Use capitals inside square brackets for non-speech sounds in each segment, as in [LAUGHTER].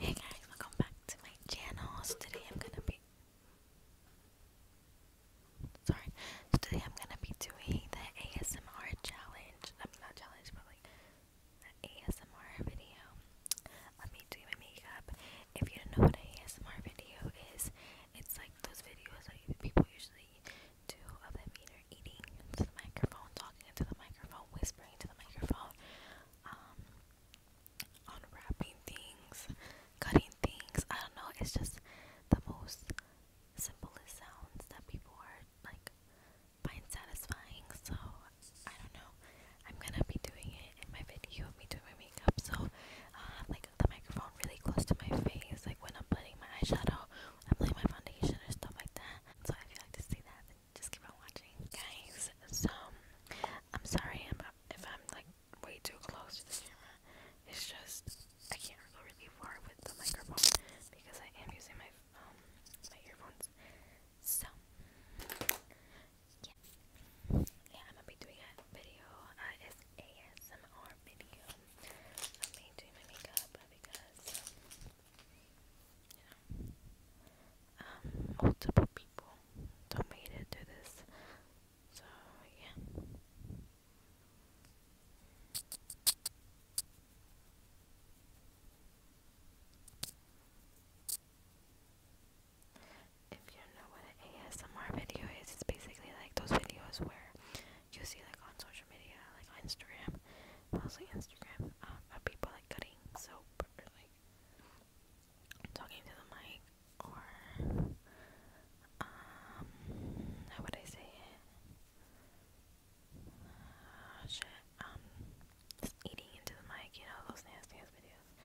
Hey guys, welcome back to my channel. today I'm gonna be sorry. today I'm gonna be doing the ASMR challenge. I'm not challenge, but like the ASMR video of me doing my makeup. If you don't know what an ASMR video is, it's like those videos that people usually do of them eating into the microphone, talking into the microphone, whispering into the microphone. Um, unwrapping things, cutting things. I don't know, it's just the most simplest sounds that people are like find satisfying. So, I don't know. I'm gonna be doing it in my video of me doing my makeup. So, i uh, have like the microphone really close to my face, like when I'm putting my eyeshadow, I'm putting my foundation, or stuff like that. So, if you like to see that, just keep on watching, guys. So I'm sorry if I'm like way too close to the camera. It's just I can't go really far with the microphone because I am using my um, my earphones. So yeah, yeah, I'm gonna be doing a video. Uh, it's ASMR video of me doing my makeup because you know, um, multiple people donated to this, so yeah. If you know what ASMR video is, it's basically like those videos where you see like on social media, like on Instagram, mostly Instagram, um, people like cutting soap like talking to the mic or um how would I say it? Ah, shit, um eating into the mic, you know, those nasty ass videos.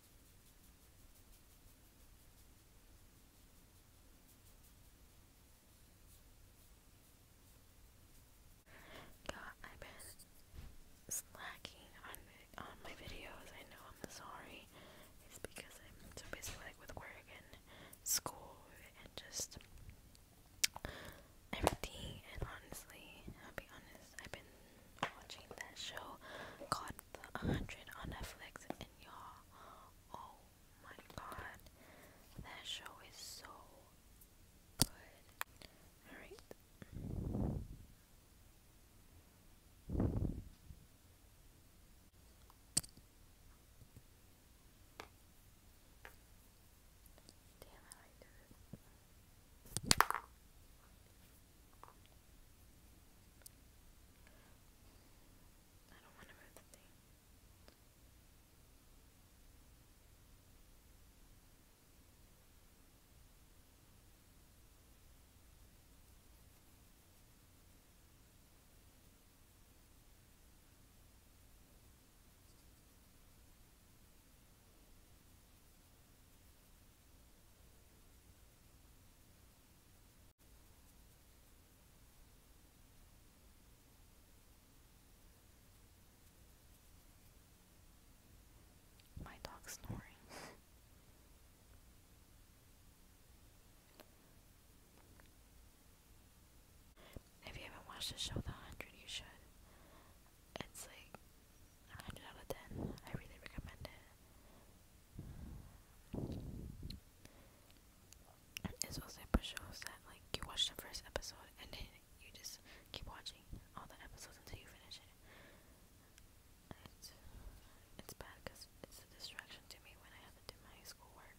God, I've been slacking on on my videos. I know I'm sorry. It's because I'm so busy like with work and school and just everything. And honestly, I'll be honest, I've been watching that show called The 100 on Netflix, and y'all, oh my god, that show is so good. Alright. Damn it, I did I don't want to move the thing. My dog snoring. If you haven't watched the show The Hundred, you should. It's like 100 out of 10. I really recommend it. It's also for shows that, like, you watch the first episode and then you just keep watching all the episodes until you finish it. It's, bad because it's a distraction to me when I have to do my schoolwork.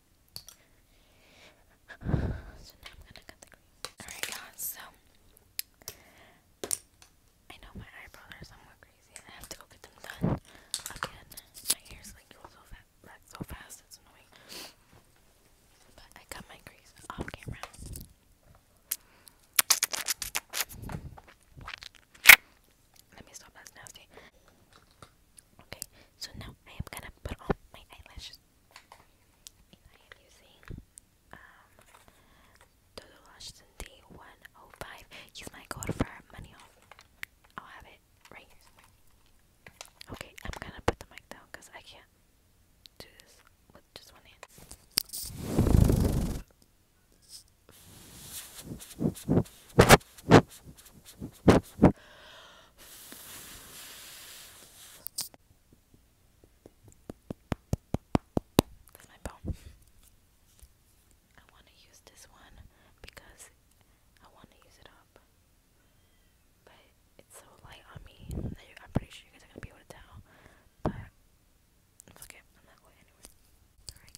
So now I'm gonna cut the crease. Alright guys, so I know my eyebrows are somewhat crazy and I have to go get them done again. My hair's like grow so fast so fast it's annoying. But I cut my crease off camera. Let me stop, that's nasty. Okay, so now I am gonna put on my eyelashes. I am using um Dodo Lash 105. Use my code for money off. I'll have it right Okay, I'm gonna put the mic down because I can't do this with just one hand. That's my phone. I want to use this one because I want to use it up. But it's so light on me I'm pretty sure you guys are going to be able to tell. But fuck it, I'm not going anywhere.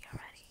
you ready?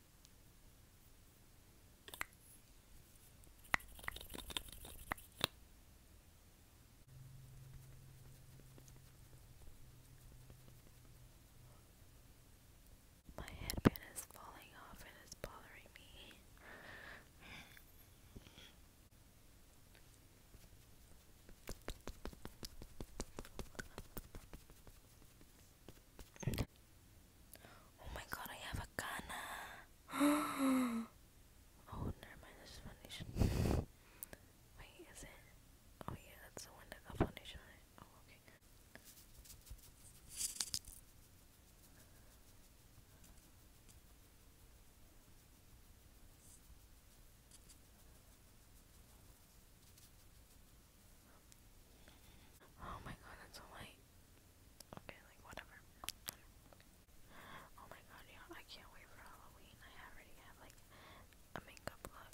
My headband is falling off and it's bothering me. Oh my god, I have a Kana. [GASPS] oh, never mind, this is foundation. Wait, is it? Oh yeah, that's the one that got foundation Oh, okay. Oh my god, it's so light. Okay, like whatever. Oh my god, yeah, I can't wait for Halloween. I already have like a makeup look.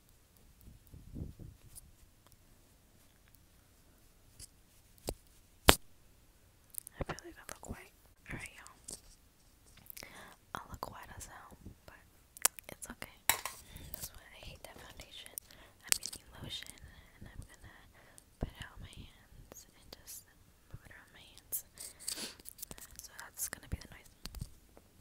I really don't look white. Alright, y'all. I look white as hell, but it's okay. That's why I hate that foundation. I'm getting lotion and I'm gonna put it my hands and just move it around my hands. So that's gonna be the noise.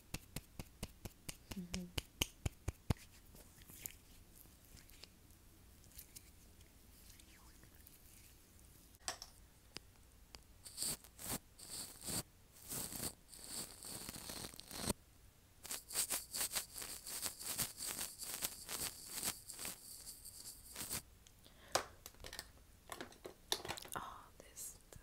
Mm -hmm. Oh, this this lipstick. Oh my god, it was there.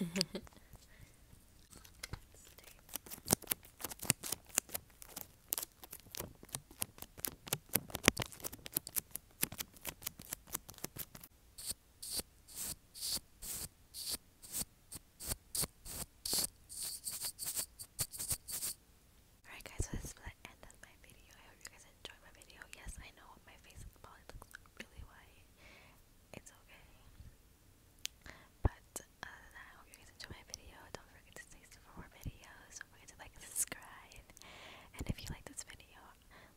Alright guys, this is the end of my video. I hope you guys enjoyed my video. Yes, I know my face probably looks really white. It's okay. But other uh, than that, I hope you guys enjoy my video. Don't forget to stay tuned for more videos. Don't forget to like and subscribe. And if you like this video,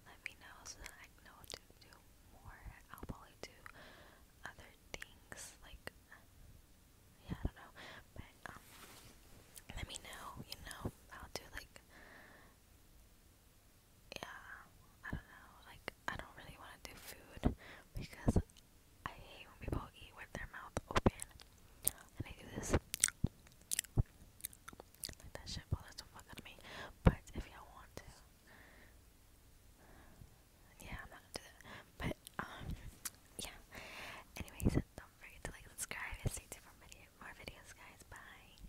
let me know so that I know to do more. I'll probably do other things like yeah, I don't know. But um, let me know, you know, I'll do like yeah, I don't know. Like, I don't really want to do food because I hate when people eat with their mouth open. And I do this. that shit bothers the fuck out of me. But if y'all want to, yeah, I'm not gonna do that. But, um, yeah. Anyways, don't forget to like, subscribe, and stay tuned for more videos, guys. Bye.